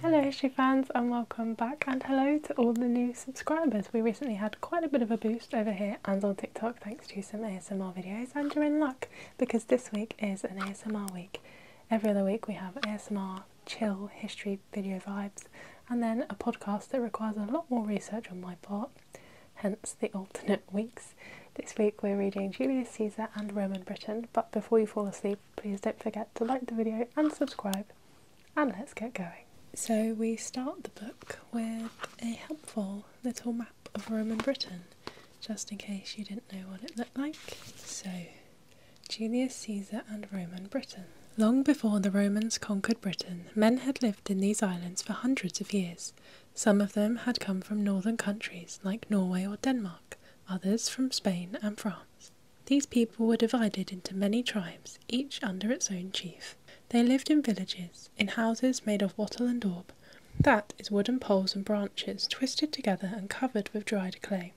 Hello History fans and welcome back and hello to all the new subscribers. We recently had quite a bit of a boost over here and on TikTok thanks to some ASMR videos and you're in luck because this week is an ASMR week. Every other week we have ASMR, chill, history video vibes and then a podcast that requires a lot more research on my part, hence the alternate weeks this week we're reading Julius Caesar and Roman Britain, but before you fall asleep, please don't forget to like the video and subscribe, and let's get going. So we start the book with a helpful little map of Roman Britain, just in case you didn't know what it looked like. So, Julius Caesar and Roman Britain. Long before the Romans conquered Britain, men had lived in these islands for hundreds of years. Some of them had come from northern countries like Norway or Denmark others from Spain and France. These people were divided into many tribes, each under its own chief. They lived in villages, in houses made of wattle and daub. That is wooden poles and branches twisted together and covered with dried clay.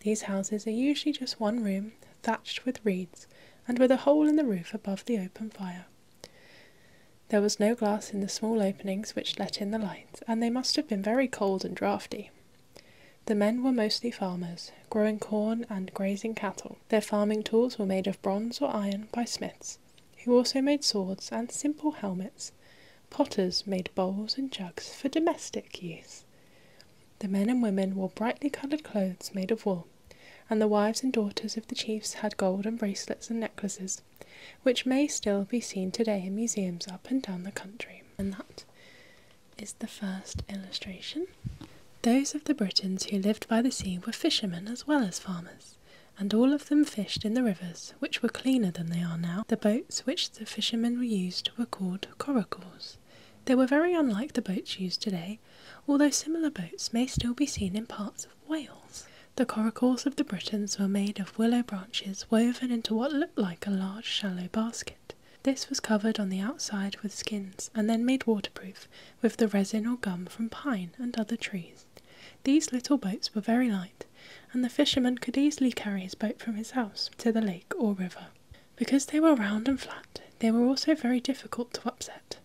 These houses are usually just one room, thatched with reeds, and with a hole in the roof above the open fire. There was no glass in the small openings which let in the light and they must have been very cold and draughty. The men were mostly farmers, growing corn and grazing cattle. Their farming tools were made of bronze or iron by smiths, who also made swords and simple helmets. Potters made bowls and jugs for domestic use. The men and women wore brightly coloured clothes made of wool, and the wives and daughters of the chiefs had gold and bracelets and necklaces which may still be seen today in museums up and down the country. And that is the first illustration. Those of the Britons who lived by the sea were fishermen as well as farmers, and all of them fished in the rivers, which were cleaner than they are now. The boats which the fishermen used were called coracles. They were very unlike the boats used today, although similar boats may still be seen in parts of Wales. The coracles of the Britons were made of willow branches woven into what looked like a large shallow basket. This was covered on the outside with skins and then made waterproof with the resin or gum from pine and other trees. These little boats were very light, and the fisherman could easily carry his boat from his house to the lake or river. Because they were round and flat, they were also very difficult to upset,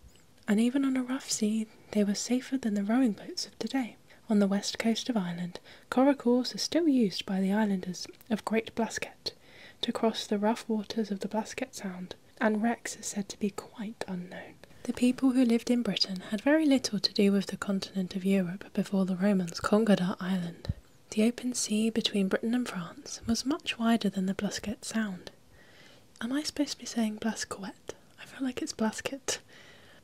and even on a rough sea, they were safer than the rowing boats of today on the west coast of Ireland, coracles are still used by the islanders of Great Blasket to cross the rough waters of the Blasket Sound, and wrecks are said to be quite unknown. The people who lived in Britain had very little to do with the continent of Europe before the Romans conquered our island. The open sea between Britain and France was much wider than the Blasket Sound. Am I supposed to be saying Blasquet? I feel like it's Blasket.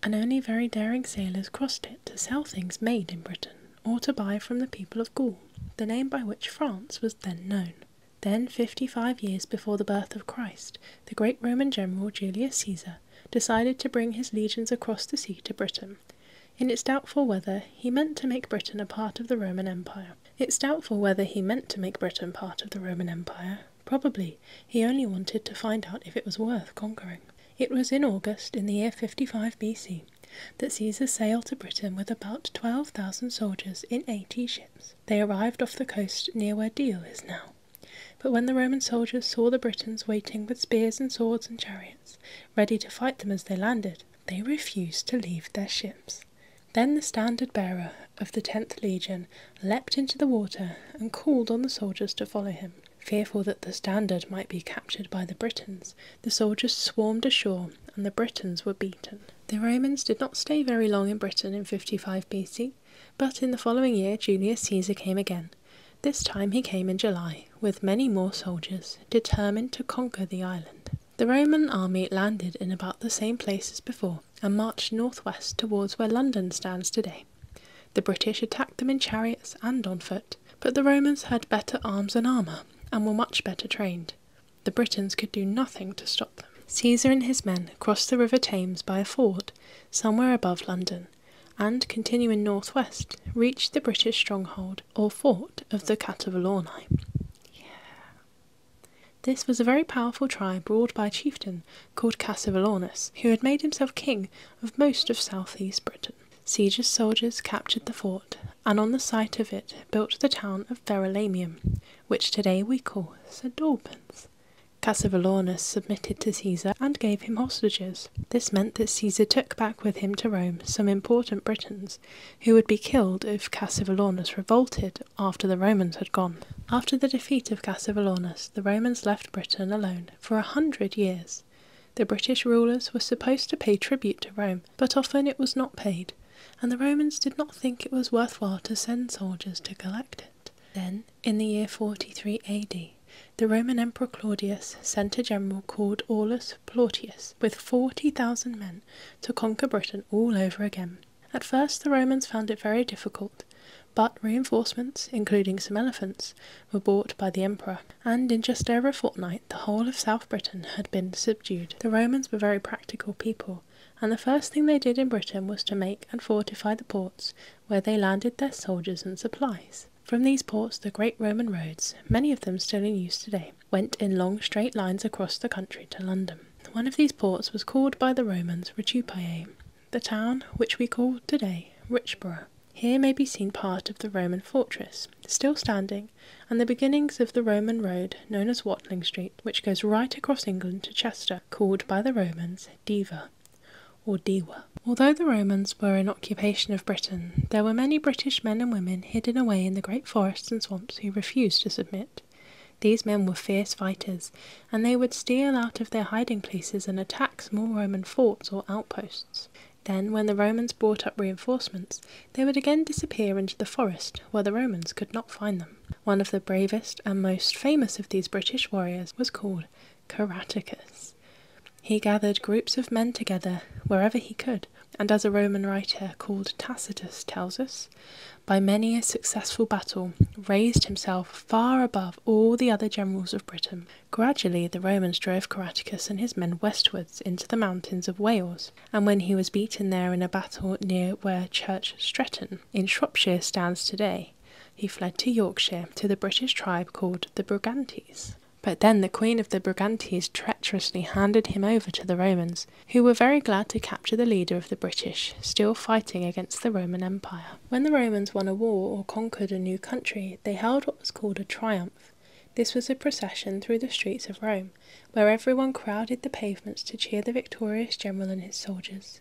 And only very daring sailors crossed it to sell things made in Britain or to buy from the people of Gaul, the name by which France was then known. Then, fifty five years before the birth of Christ, the great Roman general Julius Caesar decided to bring his legions across the sea to Britain. In its doubtful whether he meant to make Britain a part of the Roman Empire. It's doubtful whether he meant to make Britain part of the Roman Empire. Probably he only wanted to find out if it was worth conquering. It was in August in the year 55 BC that Caesar sailed to Britain with about 12,000 soldiers in 80 ships. They arrived off the coast near where Deal is now. But when the Roman soldiers saw the Britons waiting with spears and swords and chariots, ready to fight them as they landed, they refused to leave their ships. Then the standard bearer of the 10th Legion leapt into the water and called on the soldiers to follow him. Fearful that the standard might be captured by the Britons, the soldiers swarmed ashore and the Britons were beaten. The Romans did not stay very long in Britain in 55 BC, but in the following year Julius Caesar came again. This time he came in July, with many more soldiers, determined to conquer the island. The Roman army landed in about the same place as before and marched northwest towards where London stands today. The British attacked them in chariots and on foot, but the Romans had better arms and armour, and were much better trained. The Britons could do nothing to stop them. Caesar and his men crossed the River Thames by a ford, somewhere above London, and, continuing northwest, reached the British stronghold, or fort, of the Catavalorni. This was a very powerful tribe ruled by a chieftain called Cassivellaunus, who had made himself king of most of South East Britain. Caesar's soldiers captured the fort and on the site of it built the town of Verulamium, which today we call St. Albans. Cassivellaunus submitted to Caesar and gave him hostages. This meant that Caesar took back with him to Rome some important Britons, who would be killed if Cassivellaunus revolted after the Romans had gone. After the defeat of Cassivellaunus, the Romans left Britain alone for a hundred years. The British rulers were supposed to pay tribute to Rome, but often it was not paid, and the Romans did not think it was worthwhile to send soldiers to collect it. Then, in the year 43 AD, the Roman Emperor Claudius sent a general called Aulus Plautius with 40,000 men to conquer Britain all over again. At first, the Romans found it very difficult, but reinforcements, including some elephants, were bought by the emperor, and in just over a fortnight the whole of South Britain had been subdued. The Romans were very practical people, and the first thing they did in Britain was to make and fortify the ports where they landed their soldiers and supplies. From these ports, the great Roman roads, many of them still in use today, went in long straight lines across the country to London. One of these ports was called by the Romans Ritupae. The town, which we call today Richborough, here may be seen part of the Roman fortress, still standing, and the beginnings of the Roman road known as Watling Street, which goes right across England to Chester, called by the Romans Diva or Deva. Although the Romans were in occupation of Britain, there were many British men and women hidden away in the great forests and swamps who refused to submit. These men were fierce fighters, and they would steal out of their hiding places and attack small Roman forts or outposts. Then, when the Romans brought up reinforcements, they would again disappear into the forest, where the Romans could not find them. One of the bravest and most famous of these British warriors was called Caraticus. He gathered groups of men together wherever he could, and as a Roman writer called Tacitus tells us, by many a successful battle raised himself far above all the other generals of Britain, Gradually the Romans drove Caraticus and his men westwards into the mountains of Wales, and when he was beaten there in a battle near where Church Stretton in Shropshire stands today, he fled to Yorkshire to the British tribe called the Brigantes. But then the queen of the Brigantes treacherously handed him over to the Romans, who were very glad to capture the leader of the British, still fighting against the Roman Empire. When the Romans won a war or conquered a new country, they held was called a triumph. This was a procession through the streets of Rome, where everyone crowded the pavements to cheer the victorious general and his soldiers.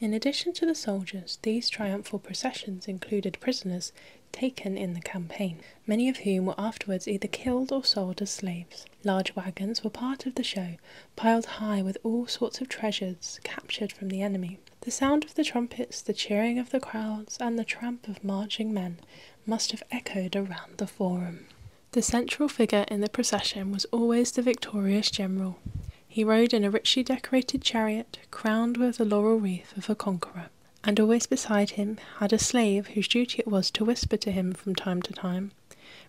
In addition to the soldiers, these triumphal processions included prisoners taken in the campaign, many of whom were afterwards either killed or sold as slaves. Large wagons were part of the show, piled high with all sorts of treasures captured from the enemy. The sound of the trumpets, the cheering of the crowds, and the tramp of marching men must have echoed around the forum. The central figure in the procession was always the victorious general. He rode in a richly decorated chariot, crowned with the laurel wreath of a conqueror, and always beside him had a slave whose duty it was to whisper to him from time to time,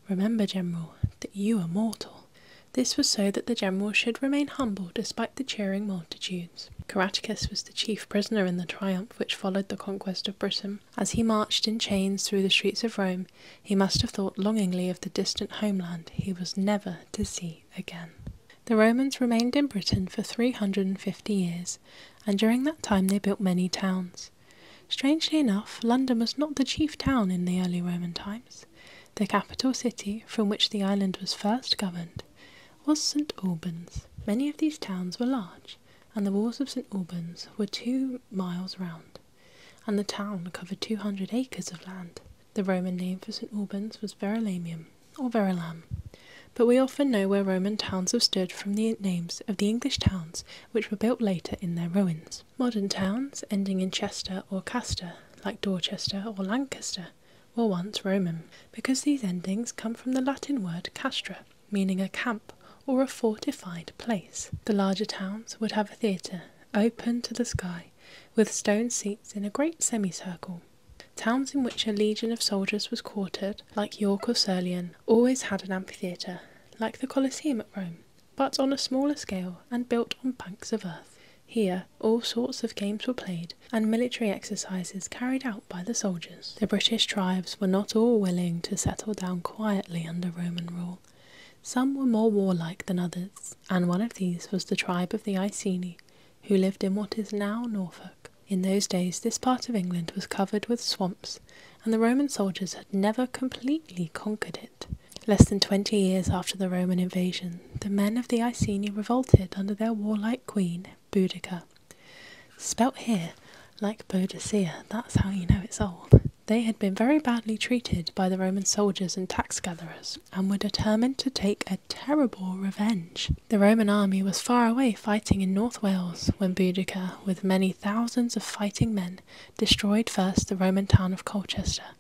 Remember, General, that you are mortal. This was so that the general should remain humble despite the cheering multitude disputes. Caractacus was the chief prisoner in the triumph which followed the conquest of Britain. As he marched in chains through the streets of Rome, he must have thought longingly of the distant homeland he was never to see again. The Romans remained in Britain for 350 years, and during that time they built many towns. Strangely enough, London was not the chief town in the early Roman times. The capital city, from which the island was first governed, was St Albans. Many of these towns were large, and the walls of St Albans were two miles round, and the town covered 200 acres of land. The Roman name for St Albans was Verulamium, or Verulam, but we often know where Roman towns have stood from the names of the English towns which were built later in their ruins. Modern towns ending in Chester or Caster, like Dorchester or Lancaster, were once Roman, because these endings come from the Latin word castra, meaning a camp or a fortified place. The larger towns would have a theatre open to the sky, with stone seats in a great semicircle. Towns in which a legion of soldiers was quartered, like York or Sirlian, always had an amphitheatre, like the Colosseum at Rome, but on a smaller scale and built on banks of earth. Here, all sorts of games were played and military exercises carried out by the soldiers. The British tribes were not all willing to settle down quietly under Roman rule. Some were more warlike than others, and one of these was the tribe of the Iceni, who lived in what is now Norfolk. In those days, this part of England was covered with swamps, and the Roman soldiers had never completely conquered it. Less than twenty years after the Roman invasion, the men of the Iceni revolted under their warlike queen, Boudica. Spelt here like Boadicea, that's how you know it's old. They had been very badly treated by the Roman soldiers and tax gatherers, and were determined to take a terrible revenge. The Roman army was far away fighting in North Wales when Boudicca, with many thousands of fighting men, destroyed first the Roman town of Colchester,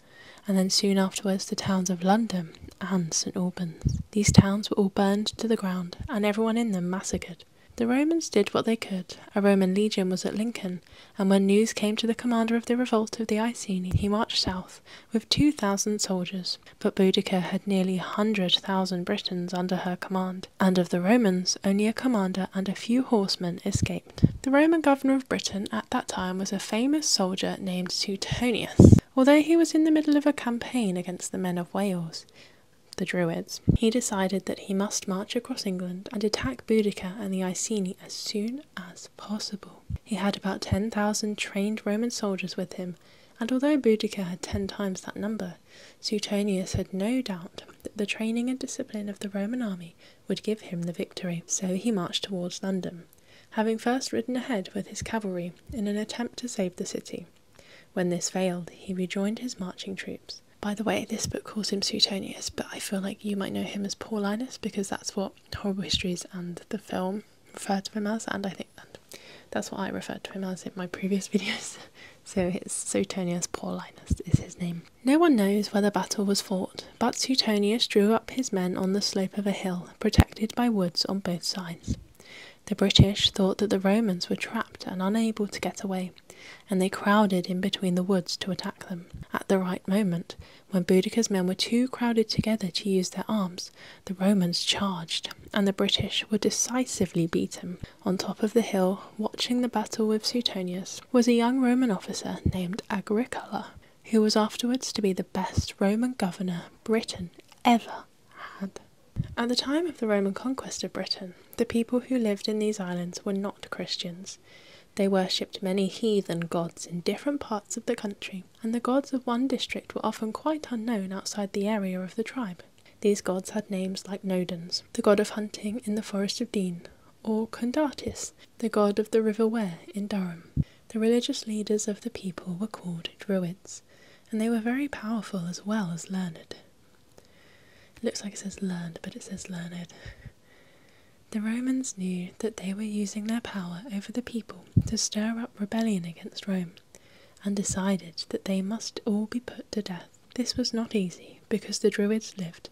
and then soon afterwards the towns of London and St Albans. These towns were all burned to the ground, and everyone in them massacred. The Romans did what they could. A Roman legion was at Lincoln, and when news came to the commander of the revolt of the Iceni, he marched south with 2,000 soldiers. But Boudicca had nearly 100,000 Britons under her command, and of the Romans, only a commander and a few horsemen escaped. The Roman governor of Britain at that time was a famous soldier named Suetonius. Although he was in the middle of a campaign against the men of Wales, the Druids, he decided that he must march across England and attack Boudicca and the Iceni as soon as possible. He had about 10,000 trained Roman soldiers with him, and although Boudicca had 10 times that number, Suetonius had no doubt that the training and discipline of the Roman army would give him the victory. So he marched towards London having first ridden ahead with his cavalry in an attempt to save the city. When this failed, he rejoined his marching troops. By the way, this book calls him Suetonius, but I feel like you might know him as Paulinus because that's what Horrible Histories and the film refer to him as, and I think that's what I refer to him as in my previous videos. so it's Suetonius Paulinus is his name. No one knows where the battle was fought, but Suetonius drew up his men on the slope of a hill, protected by woods on both sides. The British thought that the Romans were trapped and unable to get away, and they crowded in between the woods to attack them. At the right moment, when Boudicca's men were too crowded together to use their arms, the Romans charged, and the British were decisively beaten. On top of the hill, watching the battle with Suetonius, was a young Roman officer named Agricola, who was afterwards to be the best Roman governor Britain ever had. At the time of the Roman conquest of Britain, the people who lived in these islands were not Christians. They worshipped many heathen gods in different parts of the country, and the gods of one district were often quite unknown outside the area of the tribe. These gods had names like Nodens, the god of hunting in the forest of Dean, or Condatis, the god of the River Wear in Durham. The religious leaders of the people were called Druids, and they were very powerful as well as learned. looks like it says learned, but it says learned. The Romans knew that they were using their power over the people to stir up rebellion against Rome, and decided that they must all be put to death. This was not easy, because the Druids lived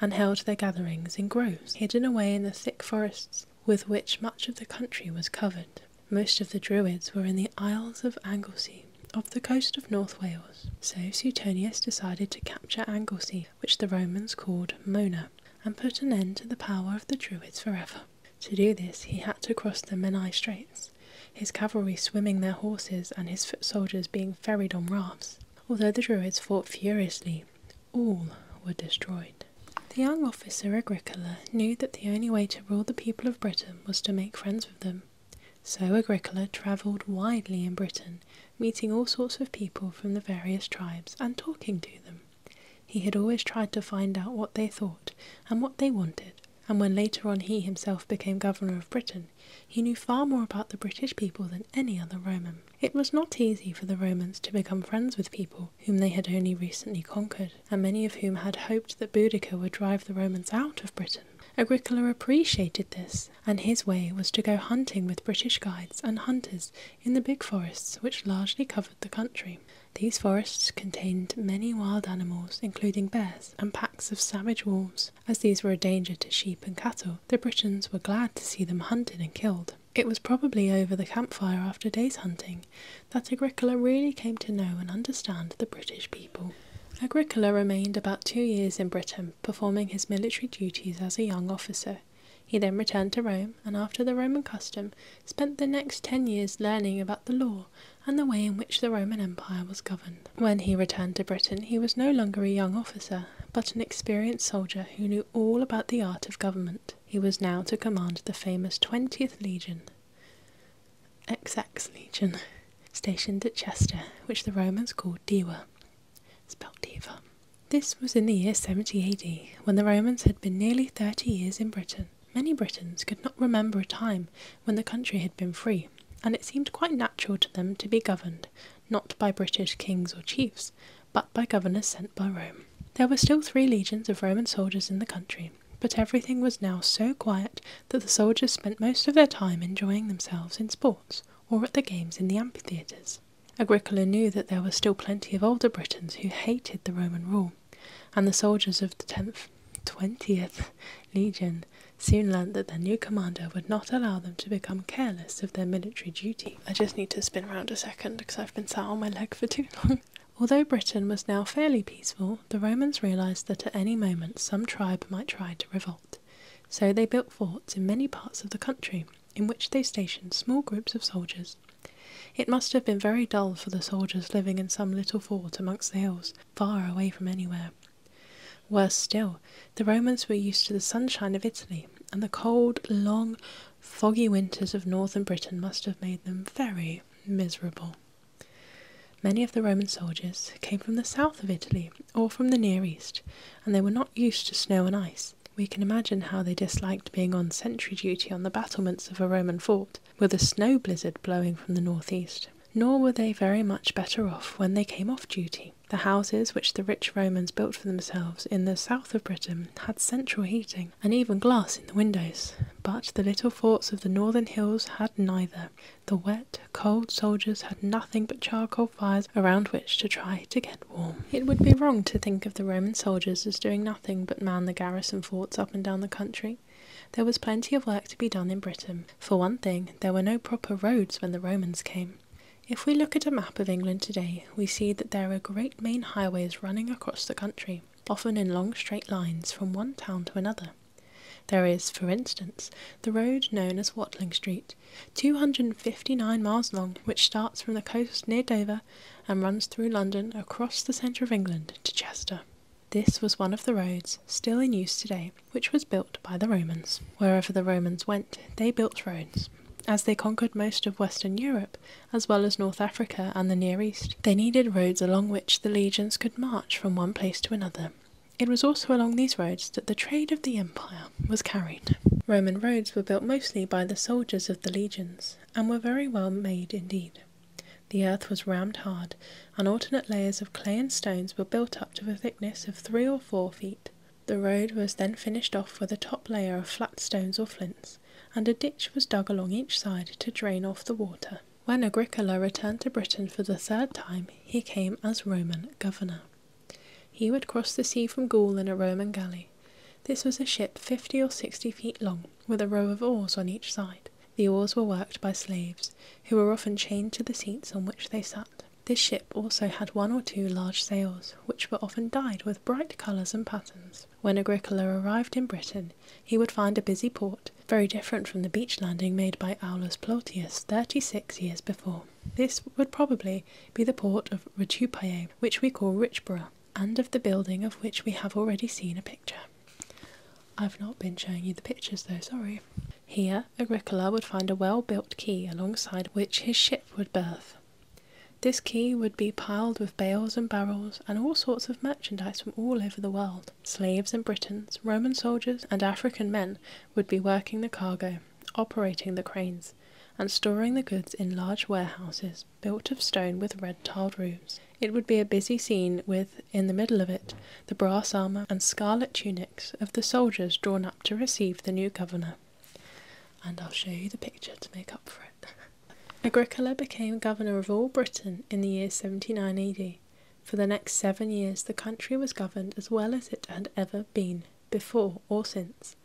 and held their gatherings in groves hidden away in the thick forests with which much of the country was covered. Most of the Druids were in the Isles of Anglesey, off the coast of North Wales, so Suetonius decided to capture Anglesey, which the Romans called Mona, and put an end to the power of the Druids forever. To do this, he had to cross the Menai Straits, his cavalry swimming their horses and his foot soldiers being ferried on rafts. Although the Druids fought furiously, all were destroyed. The young officer Agricola knew that the only way to rule the people of Britain was to make friends with them. So Agricola travelled widely in Britain, meeting all sorts of people from the various tribes and talking to them. He had always tried to find out what they thought and what they wanted, and when later on he himself became governor of Britain, he knew far more about the British people than any other Roman. It was not easy for the Romans to become friends with people whom they had only recently conquered, and many of whom had hoped that Boudicca would drive the Romans out of Britain. Agricola appreciated this, and his way was to go hunting with British guides and hunters in the big forests which largely covered the country. These forests contained many wild animals, including bears and packs of savage wolves. As these were a danger to sheep and cattle, the Britons were glad to see them hunted and killed. It was probably over the campfire after day's hunting that Agricola really came to know and understand the British people. Agricola remained about two years in Britain, performing his military duties as a young officer. He then returned to Rome and, after the Roman custom, spent the next ten years learning about the law and the way in which the Roman Empire was governed. When he returned to Britain, he was no longer a young officer, but an experienced soldier who knew all about the art of government. He was now to command the famous 20th Legion, XX legion, stationed at Chester, which the Romans called Diva, spelled Diva. This was in the year 70 AD, when the Romans had been nearly 30 years in Britain. Many Britons could not remember a time when the country had been free, and it seemed quite natural to them to be governed, not by British kings or chiefs, but by governors sent by Rome. There were still three legions of Roman soldiers in the country, but everything was now so quiet that the soldiers spent most of their time enjoying themselves in sports or at the games in the amphitheatres. Agricola knew that there were still plenty of older Britons who hated the Roman rule, and the soldiers of the 10th, 20th Legion soon learnt that their new commander would not allow them to become careless of their military duty. I just need to spin around a second because I've been sat on my leg for too long. Although Britain was now fairly peaceful, the Romans realized that at any moment some tribe might try to revolt. So they built forts in many parts of the country, in which they stationed small groups of soldiers. It must have been very dull for the soldiers living in some little fort amongst the hills, far away from anywhere. Worse still, the Romans were used to the sunshine of Italy, and the cold, long, foggy winters of northern Britain must have made them very miserable. Many of the Roman soldiers came from the south of Italy or from the Near East, and they were not used to snow and ice. We can imagine how they disliked being on sentry duty on the battlements of a Roman fort, with a snow blizzard blowing from the northeast. Nor were they very much better off when they came off duty. The houses which the rich Romans built for themselves in the south of Britain had central heating and even glass in the windows. But the little forts of the northern hills had neither. The wet, cold soldiers had nothing but charcoal fires around which to try to get warm. It would be wrong to think of the Roman soldiers as doing nothing but man the garrison forts up and down the country. There was plenty of work to be done in Britain. For one thing, there were no proper roads when the Romans came. If we look at a map of England today, we see that there are great main highways running across the country often in long straight lines from one town to another. There is, for instance, the road known as Watling Street, 259 miles long, which starts from the coast near Dover and runs through London across the centre of England to Chester. This was one of the roads still in use today, which was built by the Romans. Wherever the Romans went, they built roads. As they conquered most of Western Europe, as well as North Africa and the Near East, they needed roads along which the legions could march from one place to another. It was also along these roads that the trade of the empire was carried. Roman roads were built mostly by the soldiers of the legions, and were very well made indeed. The earth was rammed hard, and alternate layers of clay and stones were built up to a thickness of three or four feet. The road was then finished off with a top layer of flat stones or flints, and a ditch was dug along each side to drain off the water. When Agricola returned to Britain for the third time, he came as Roman governor. He would cross the sea from Gaul in a Roman galley. This was a ship fifty or sixty feet long, with a row of oars on each side. The oars were worked by slaves, who were often chained to the seats on which they sat. This ship also had one or two large sails, which were often dyed with bright colours and patterns. When Agricola arrived in Britain, he would find a busy port, very different from the beach landing made by Aulus Plautius thirty six years before. This would probably be the port of Rutupae, which we call Richborough, and of the building of which we have already seen a picture. I've not been showing you the pictures though, sorry. Here, Agricola would find a well built quay alongside which his ship would berth. This quay would be piled with bales and barrels and all sorts of merchandise from all over the world. Slaves and Britons, Roman soldiers, and African men would be working the cargo, operating the cranes, and storing the goods in large warehouses built of stone with red tiled roofs. It would be a busy scene with, in the middle of it, the brass armour and scarlet tunics of the soldiers drawn up to receive the new governor. And I'll show you the picture to make up for it. Agricola became governor of all Britain in the year 79 AD. For the next seven years, the country was governed as well as it had ever been before or since.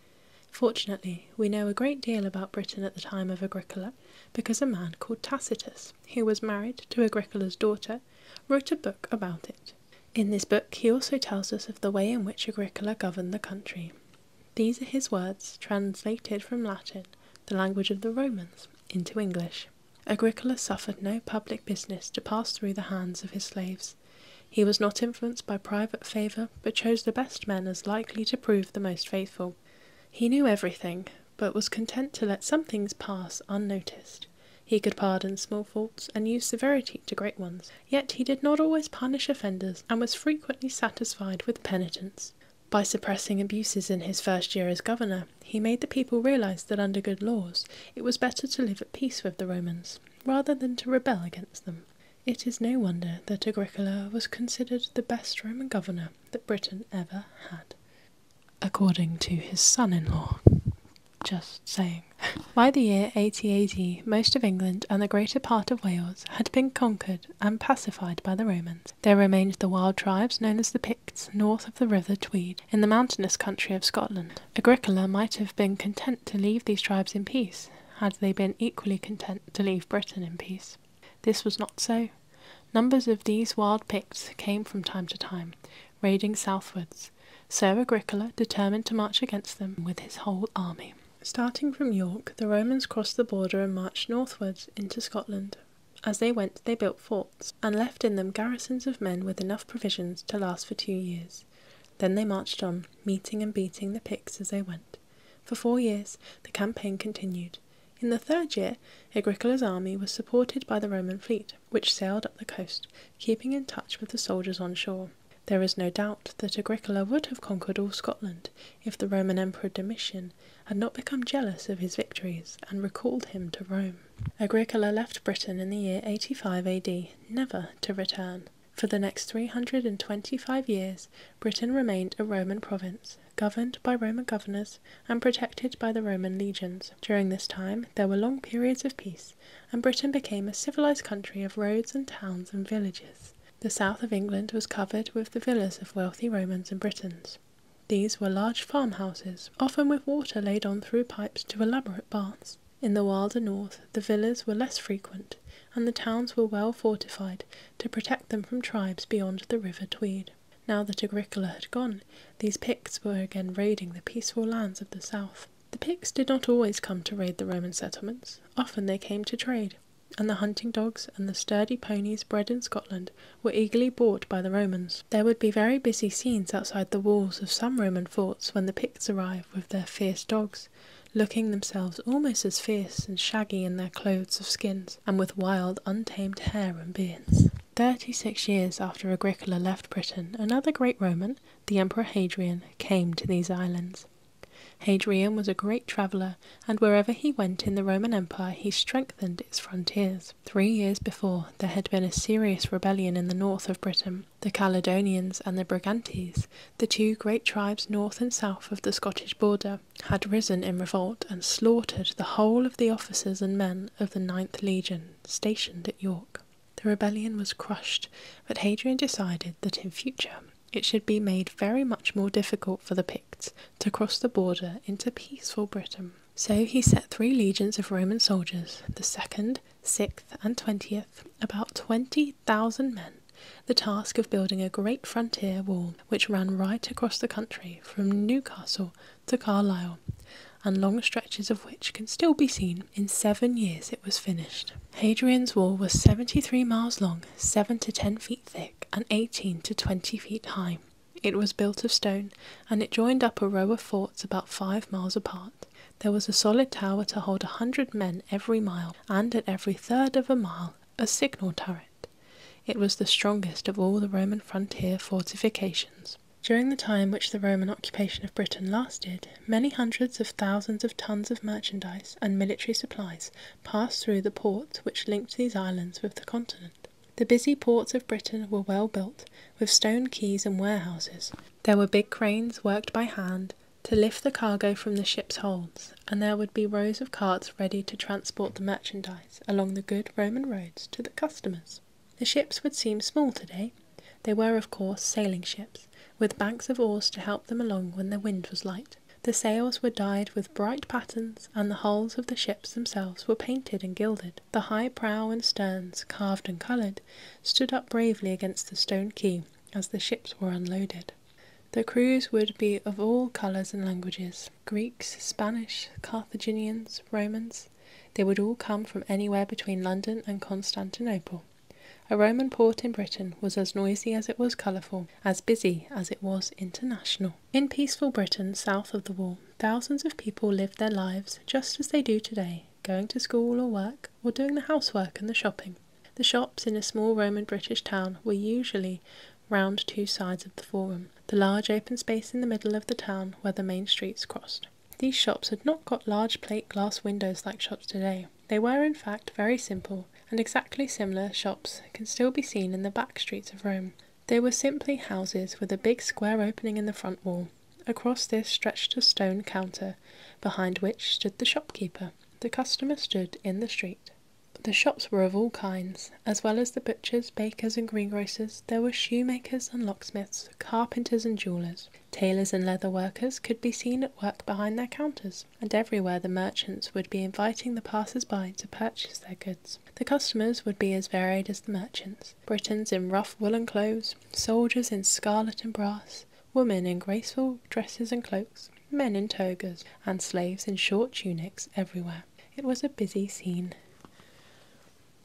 Fortunately, we know a great deal about Britain at the time of Agricola because a man called Tacitus, who was married to Agricola's daughter, wrote a book about it. In this book, he also tells us of the way in which Agricola governed the country. These are his words, translated from Latin, the language of the Romans, into English. Agricola suffered no public business to pass through the hands of his slaves. He was not influenced by private favour, but chose the best men as likely to prove the most faithful. He knew everything, but was content to let some things pass unnoticed. He could pardon small faults and use severity to great ones, yet he did not always punish offenders and was frequently satisfied with penitence. By suppressing abuses in his first year as governor, he made the people realize that under good laws it was better to live at peace with the Romans rather than to rebel against them. It is no wonder that Agricola was considered the best Roman governor that Britain ever had, according to his son in law. Just saying. By the year 80 most of England and the greater part of Wales had been conquered and pacified by the Romans. There remained the wild tribes known as the Picts, north of the river Tweed, in the mountainous country of Scotland. Agricola might have been content to leave these tribes in peace, had they been equally content to leave Britain in peace. This was not so. Numbers of these wild Picts came from time to time, raiding southwards. So Agricola determined to march against them with his whole army. Starting from York, the Romans crossed the border and marched northwards into Scotland, as they went, they built forts, and left in them garrisons of men with enough provisions to last for two years. Then they marched on, meeting and beating the Picts as they went. For four years, the campaign continued. In the third year, Agricola's army was supported by the Roman fleet, which sailed up the coast, keeping in touch with the soldiers on shore. There is no doubt that Agricola would have conquered all Scotland if the Roman Emperor Domitian had not become jealous of his victories and recalled him to Rome. Agricola left Britain in the year 85 AD, never to return. For the next 325 years, Britain remained a Roman province, governed by Roman governors and protected by the Roman legions. During this time, there were long periods of peace, and Britain became a civilized country of roads and towns and villages. The south of England was covered with the villas of wealthy Romans and Britons. These were large farmhouses, often with water laid on through pipes to elaborate baths. In the wilder north the villas were less frequent, and the towns were well fortified to protect them from tribes beyond the river Tweed. Now that Agricola had gone, these Picts were again raiding the peaceful lands of the south. The Picts did not always come to raid the Roman settlements, often they came to trade, and the hunting dogs and the sturdy ponies bred in Scotland were eagerly bought by the Romans. There would be very busy scenes outside the walls of some Roman forts when the Picts arrived with their fierce dogs, looking themselves almost as fierce and shaggy in their clothes of skins, and with wild, untamed hair and beards. Thirty six years after Agricola left Britain, another great Roman, the Emperor Hadrian, came to these islands. Hadrian was a great traveller, and wherever he went in the Roman Empire he strengthened its frontiers. Three years before, there had been a serious rebellion in the north of Britain. The Caledonians and the Brigantes, the two great tribes north and south of the Scottish border, had risen in revolt and slaughtered the whole of the officers and men of the Ninth Legion stationed at York. The rebellion was crushed, but Hadrian decided that in future it should be made very much more difficult for the Picts to cross the border into peaceful Britain. So he set three legions of Roman soldiers, the second, sixth, and twentieth, about 20,000 men, the task of building a great frontier wall which ran right across the country from Newcastle to Carlisle, and long stretches of which can still be seen. In seven years it was finished. Hadrian's Wall was 73 miles long, 7 to 10 feet thick, and 18 to 20 feet high. It was built of stone, and it joined up a row of forts about five miles apart. There was a solid tower to hold a hundred men every mile, and at every third of a mile a signal turret. It was the strongest of all the Roman frontier fortifications. During the time which the Roman occupation of Britain lasted, many hundreds of thousands of tons of merchandise and military supplies passed through the ports which linked these islands with the continent. The busy ports of Britain were well built, with stone quays and warehouses. There were big cranes worked by hand to lift the cargo from the ship's holds, and there would be rows of carts ready to transport the merchandise along the good Roman roads to the customers. The ships would seem small today. They were, of course, sailing ships, with banks of oars to help them along when the wind was light. The sails were dyed with bright patterns and the hulls of the ships themselves were painted and gilded. The high prow and sterns, carved and coloured, stood up bravely against the stone quay as the ships were unloaded. The crews would be of all colours and languages Greeks, Spanish, Carthaginians, Romans. They would all come from anywhere between London and Constantinople. A Roman port in Britain was as noisy as it was colourful, as busy as it was international. In peaceful Britain, south of the wall, thousands of people lived their lives just as they do today, going to school or work, or doing the housework and the shopping. The shops in a small Roman British town were usually round two sides of the forum, the large open space in the middle of the town where the main streets crossed. These shops had not got large plate glass windows like shops today. They were, in fact, very simple, and exactly similar shops can still be seen in the back streets of Rome, they were simply houses with a big square opening in the front wall. Across this stretched a stone counter, behind which stood the shopkeeper. The customers stood in the street. The shops were of all kinds. As well as the butchers, bakers, and greengrocers, there were shoemakers and locksmiths, carpenters and jewellers. Tailors and leather workers could be seen at work behind their counters, and everywhere the merchants would be inviting the passers by to purchase their goods. The customers would be as varied as the merchants. Britons in rough woollen clothes, soldiers in scarlet and brass, women in graceful dresses and cloaks, men in togas, and slaves in short tunics everywhere. It was a busy scene.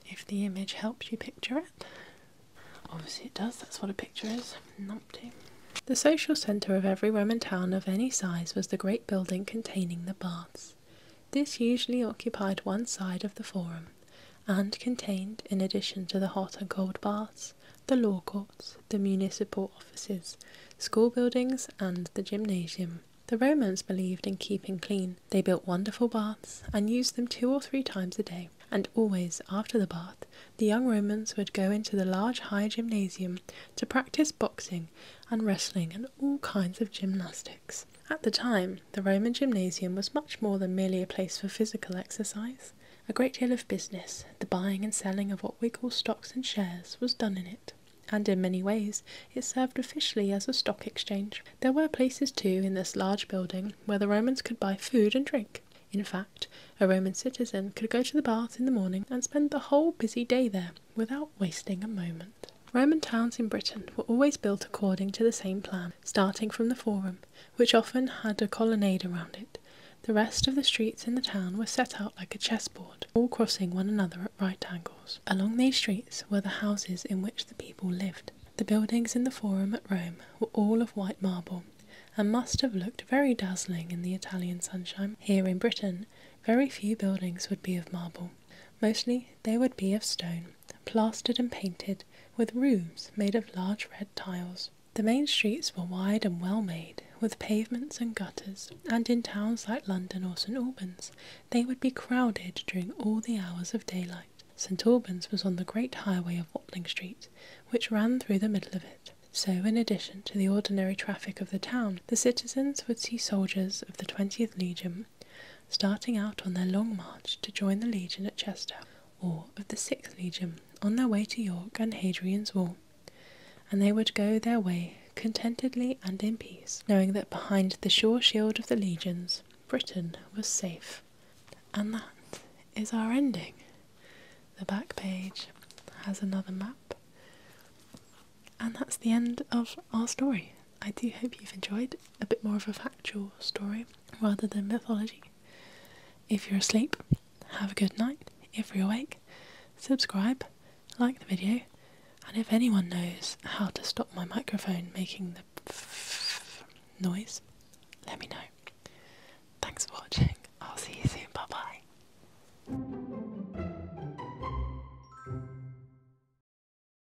If the image helps you picture it, obviously it does, that's what a picture is. Numpty. The social centre of every Roman town of any size was the great building containing the baths. This usually occupied one side of the forum and contained, in addition to the hot and cold baths, the law courts, the municipal offices, school buildings, and the gymnasium. The Romans believed in keeping clean. They built wonderful baths and used them two or three times a day. And always after the bath, the young Romans would go into the large high gymnasium to practice boxing and wrestling and all kinds of gymnastics. At the time, the Roman gymnasium was much more than merely a place for physical exercise. A great deal of business, the buying and selling of what we call stocks and shares, was done in it, and in many ways it served officially as a stock exchange. There were places too in this large building where the Romans could buy food and drink. In fact, a Roman citizen could go to the baths in the morning and spend the whole busy day there without wasting a moment. Roman towns in Britain were always built according to the same plan, starting from the Forum, which often had a colonnade around it. The rest of the streets in the town were set out like a chessboard, all crossing one another at right angles. Along these streets were the houses in which the people lived. The buildings in the Forum at Rome were all of white marble, and must have looked very dazzling in the Italian sunshine. Here in Britain, very few buildings would be of marble. Mostly they would be of stone plastered and painted, with roofs made of large red tiles. The main streets were wide and well made, with pavements and gutters, and in towns like London or St Albans, they would be crowded during all the hours of daylight. St Albans was on the great highway of Watling Street, which ran through the middle of it. So, in addition to the ordinary traffic of the town, the citizens would see soldiers of the 20th Legion starting out on their long march to join the Legion at Chester, or of the Sixth Legion, on their way to York and Hadrian's Wall. And they would go their way contentedly and in peace, knowing that behind the sure shield of the legions, Britain was safe. And that is our ending. The back page has another map. And that's the end of our story. I do hope you've enjoyed a bit more of a factual story rather than mythology. If you're asleep, have a good night. If you're awake, subscribe, like the video, and if anyone knows how to stop my microphone making the noise, let me know. Thanks for watching. I'll see you soon. Bye bye.